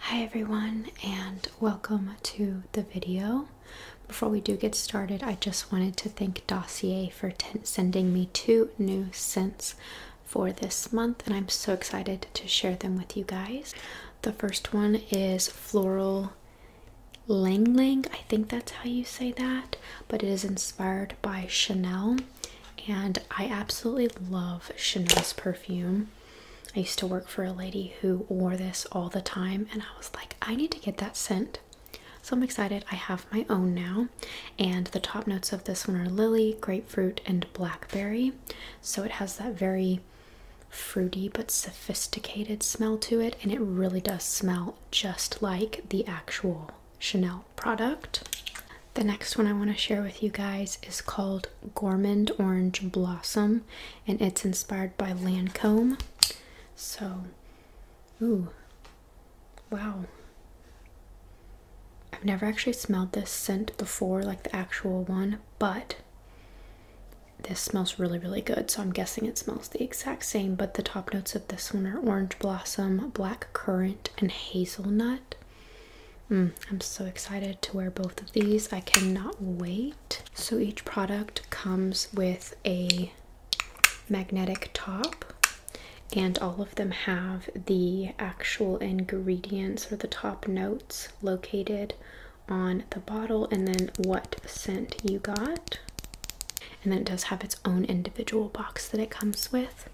Hi everyone and welcome to the video. Before we do get started, I just wanted to thank Dossier for sending me two new scents for this month and I'm so excited to share them with you guys. The first one is Floral Lang Lang. I think that's how you say that, but it is inspired by Chanel and I absolutely love Chanel's perfume. I used to work for a lady who wore this all the time, and I was like, I need to get that scent. So I'm excited. I have my own now, and the top notes of this one are lily, grapefruit, and blackberry. So it has that very fruity but sophisticated smell to it, and it really does smell just like the actual Chanel product. The next one I want to share with you guys is called Gourmand Orange Blossom and it's inspired by Lancome. So, ooh, wow. I've never actually smelled this scent before, like the actual one, but this smells really, really good. So I'm guessing it smells the exact same, but the top notes of this one are orange blossom, black currant, and hazelnut. Mm, I'm so excited to wear both of these. I cannot wait. So each product comes with a magnetic top, and all of them have the actual ingredients or the top notes located on the bottle, and then what scent you got. And then it does have its own individual box that it comes with.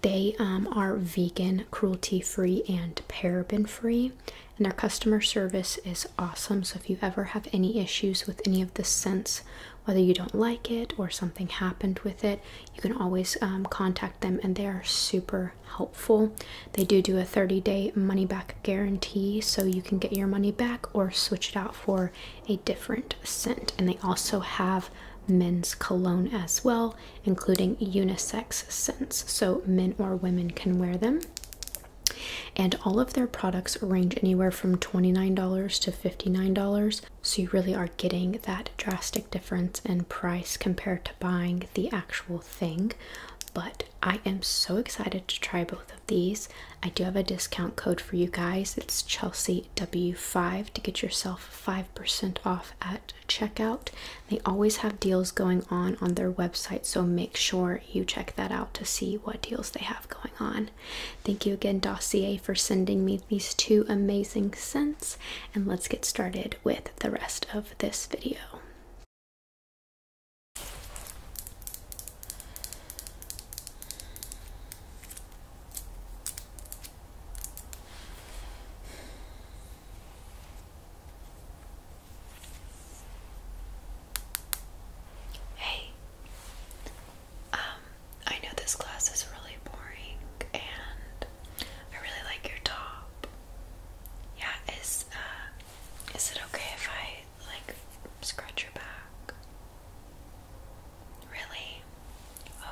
They um, are vegan, cruelty free, and paraben free, and their customer service is awesome. So if you ever have any issues with any of the scents, whether you don't like it or something happened with it, you can always um, contact them, and they are super helpful. They do do a 30 day money back guarantee, so you can get your money back or switch it out for a different scent. And they also have men's cologne as well including unisex scents, so men or women can wear them. And all of their products range anywhere from $29 to $59, so you really are getting that drastic difference in price compared to buying the actual thing. But I am so excited to try both of these. I do have a discount code for you guys. It's Chelsea W5 to get yourself 5% off at checkout. They always have deals going on on their website, so make sure you check that out to see what deals they have going on. Thank you again, Dossier, for sending me these two amazing scents, and let's get started with the rest of this video. Hey, um, I know this class is really boring and I really like your top. Yeah, is uh is it okay if I like scratch your back? Really?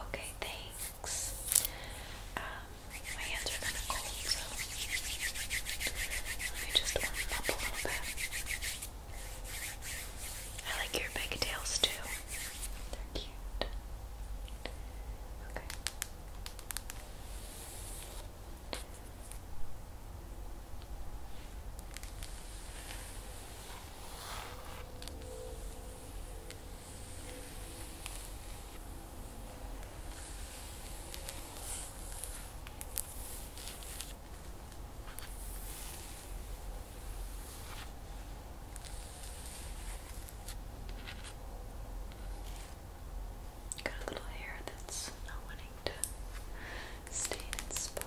Okay, thanks. Um, my hands are kind of cold, so let me just warm up a little bit. I like your pigtails too. They're cute. Okay. Got a little hair that's not wanting to stay in spot.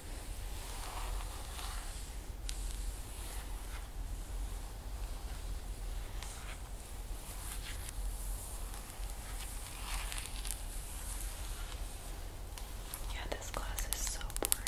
Yeah, this class is so boring.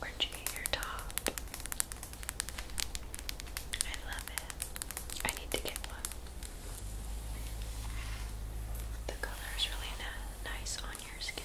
Where'd you get your top? I love it. I need to get one. The color is really nice on your skin.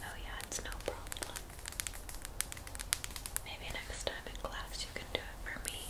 Oh, yeah, it's no problem. Maybe next time in class you can do it for me.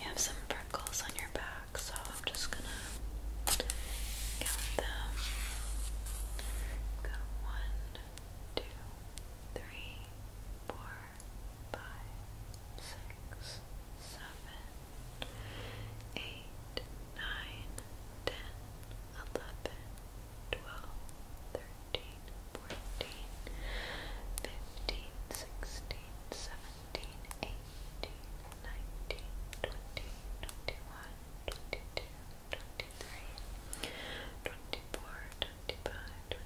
You have some freckles on your back, so I'm just gonna count them. Got one, two, three, four, five, six, seven, eight, nine, ten, eleven, twelve, thirteen, fourteen, fifteen, sixteen, seventeen, eighteen, nineteen, twenty, twenty-one, twenty-two, twenty-three, twenty-four, twenty-five, twenty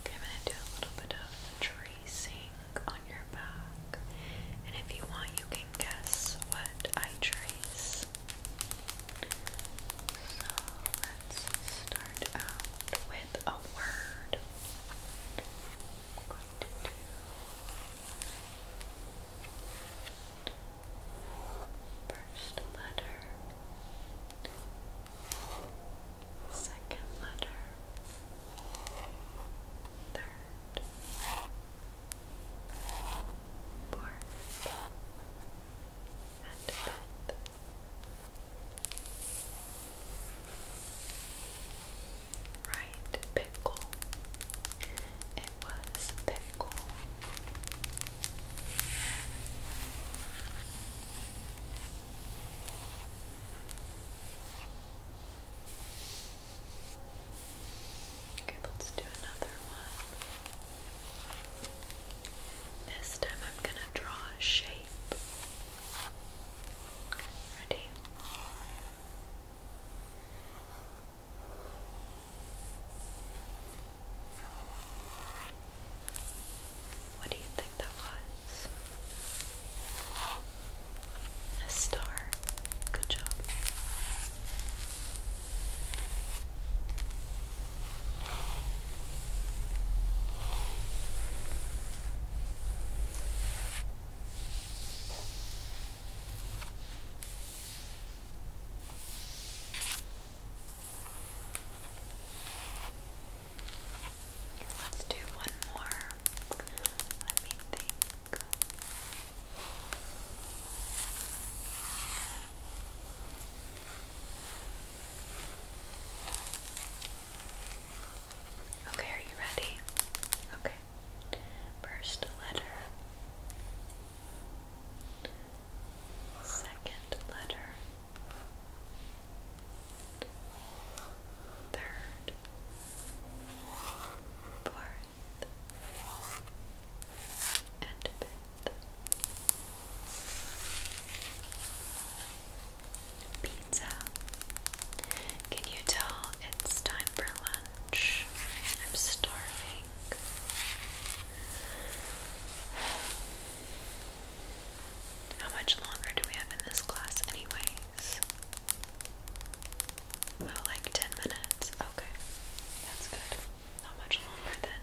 Okay, I'm going to do a little bit of tracing on your back, and if you want, you can guess what I trace. So let's start out with a word. first letter, second letter, third, fourth, and fifth. Right, pickle. It was pickle. Okay, let's do another one. This time I'm going to draw a shape. Ready? What do you think that was? A star. Good job. Let's do one more. Let me think. Okay, are you ready? Okay. First letter. Second letter. Third. Fourth. And fifth pizza. Can you tell it's time for lunch? I'm starving. How much longer do we have in this class, anyways? Oh, like 10 minutes. Okay, that's good. Not much longer then.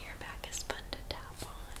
Your back is fun to tap on.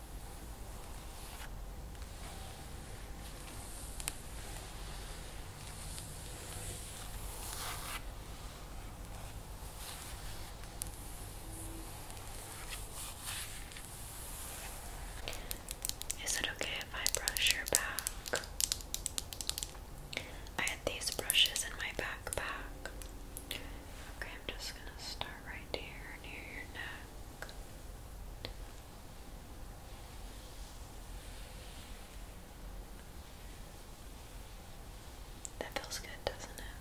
Is it okay if I brush your back? I had these brushes in my backpack. Okay, I'm just gonna start right here near your neck. That feels good, doesn't it?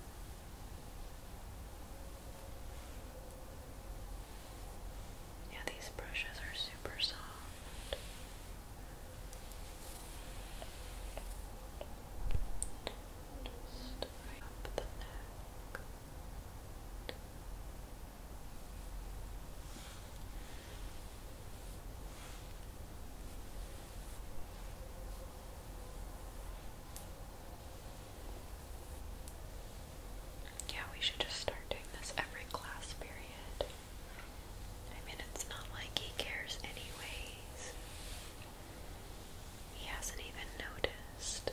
Yeah, these brushes are super soft. Yeah, we should just start doing this every class period. I mean, it's not like he cares, anyways. He hasn't even noticed.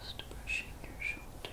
Just brushing your shoulders.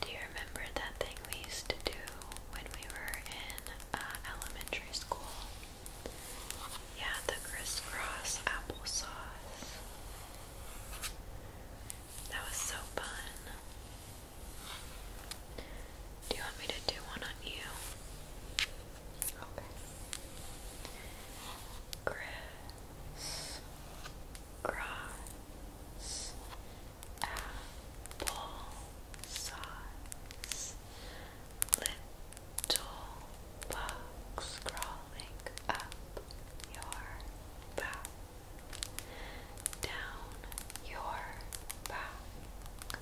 Do you remember that thing we used to do when we were in uh, elementary school? Yeah, the crisscross applesauce. That was so fun. Do you want me to do one on you? Okay. Grass, grass, apple size, little bugs crawling up your back down your back.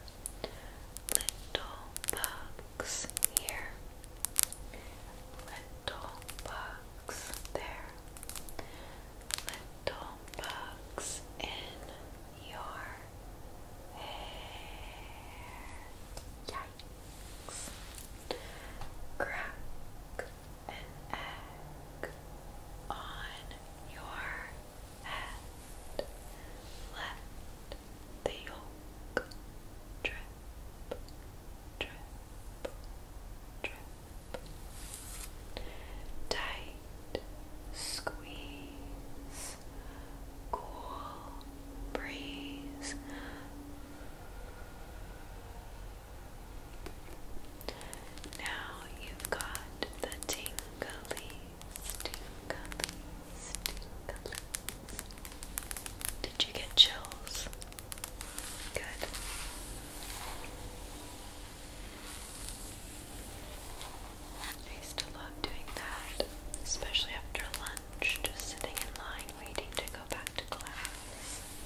Little bugs here, little bugs there, little bugs in your hair. Yikes. Crack, an egg on your head. Let the yolk drip, drip, drip. Tight squeeze, cool breeze. Now you've got the tinglies, tinglies, tinglies. Did you get chills? Good. used to love doing that, especially after lunch, just sitting in line waiting to go back to class.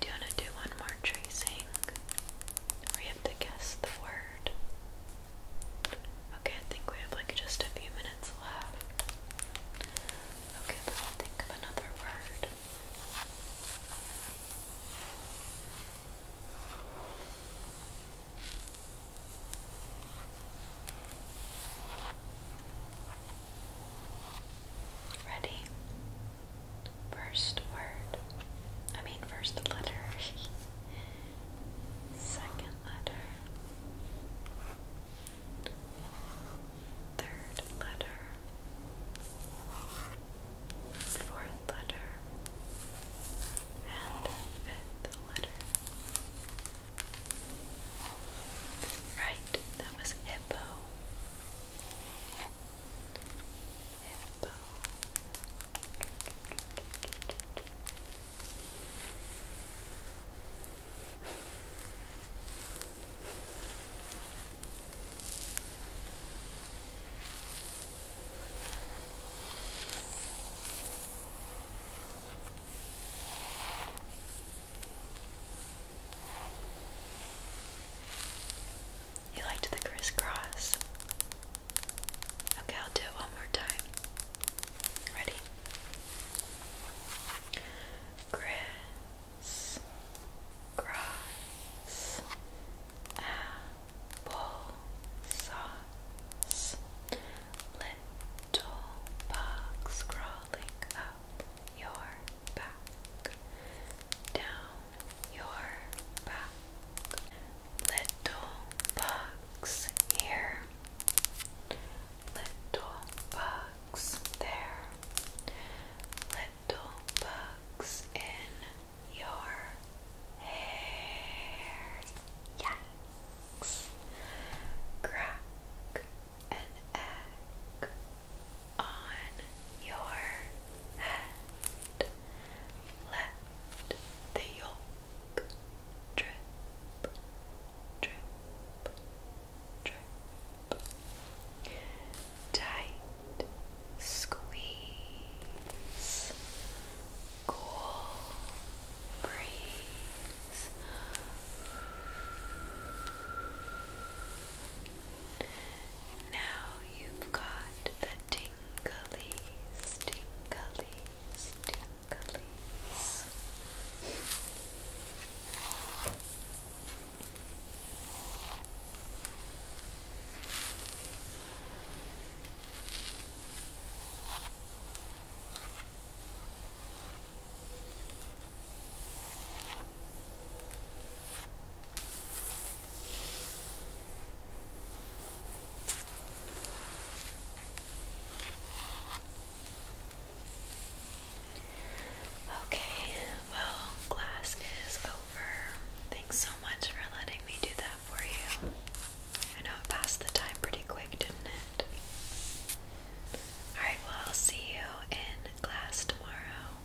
Do you want to do one more tracing? We have to guess the word. Okay, I think we have like just a few minutes left. Okay, but I'll think of another word. Ready? First word. I mean, first letter. Second letter. Third letter. Fourth letter. And fifth letter. Right, that was hippo. Hippo. You liked the crisscross? Okay, I'll do it one more time. Ready? Grass, grass, apple sauce, little bugs crawling up your back, down your Little bugs here, little bugs there, little bugs in your hair. Yikes! Crack an egg on your and let the yolk drip, drip, drip. Tight squeeze, cool breeze. Now you've got the tingly Tinglies, tinglies, tinglies. Okay, well, class is over. Thanks so much for letting me do that for you. I know it passed the time pretty quick, didn't it? Alright, well, I'll see you in class tomorrow.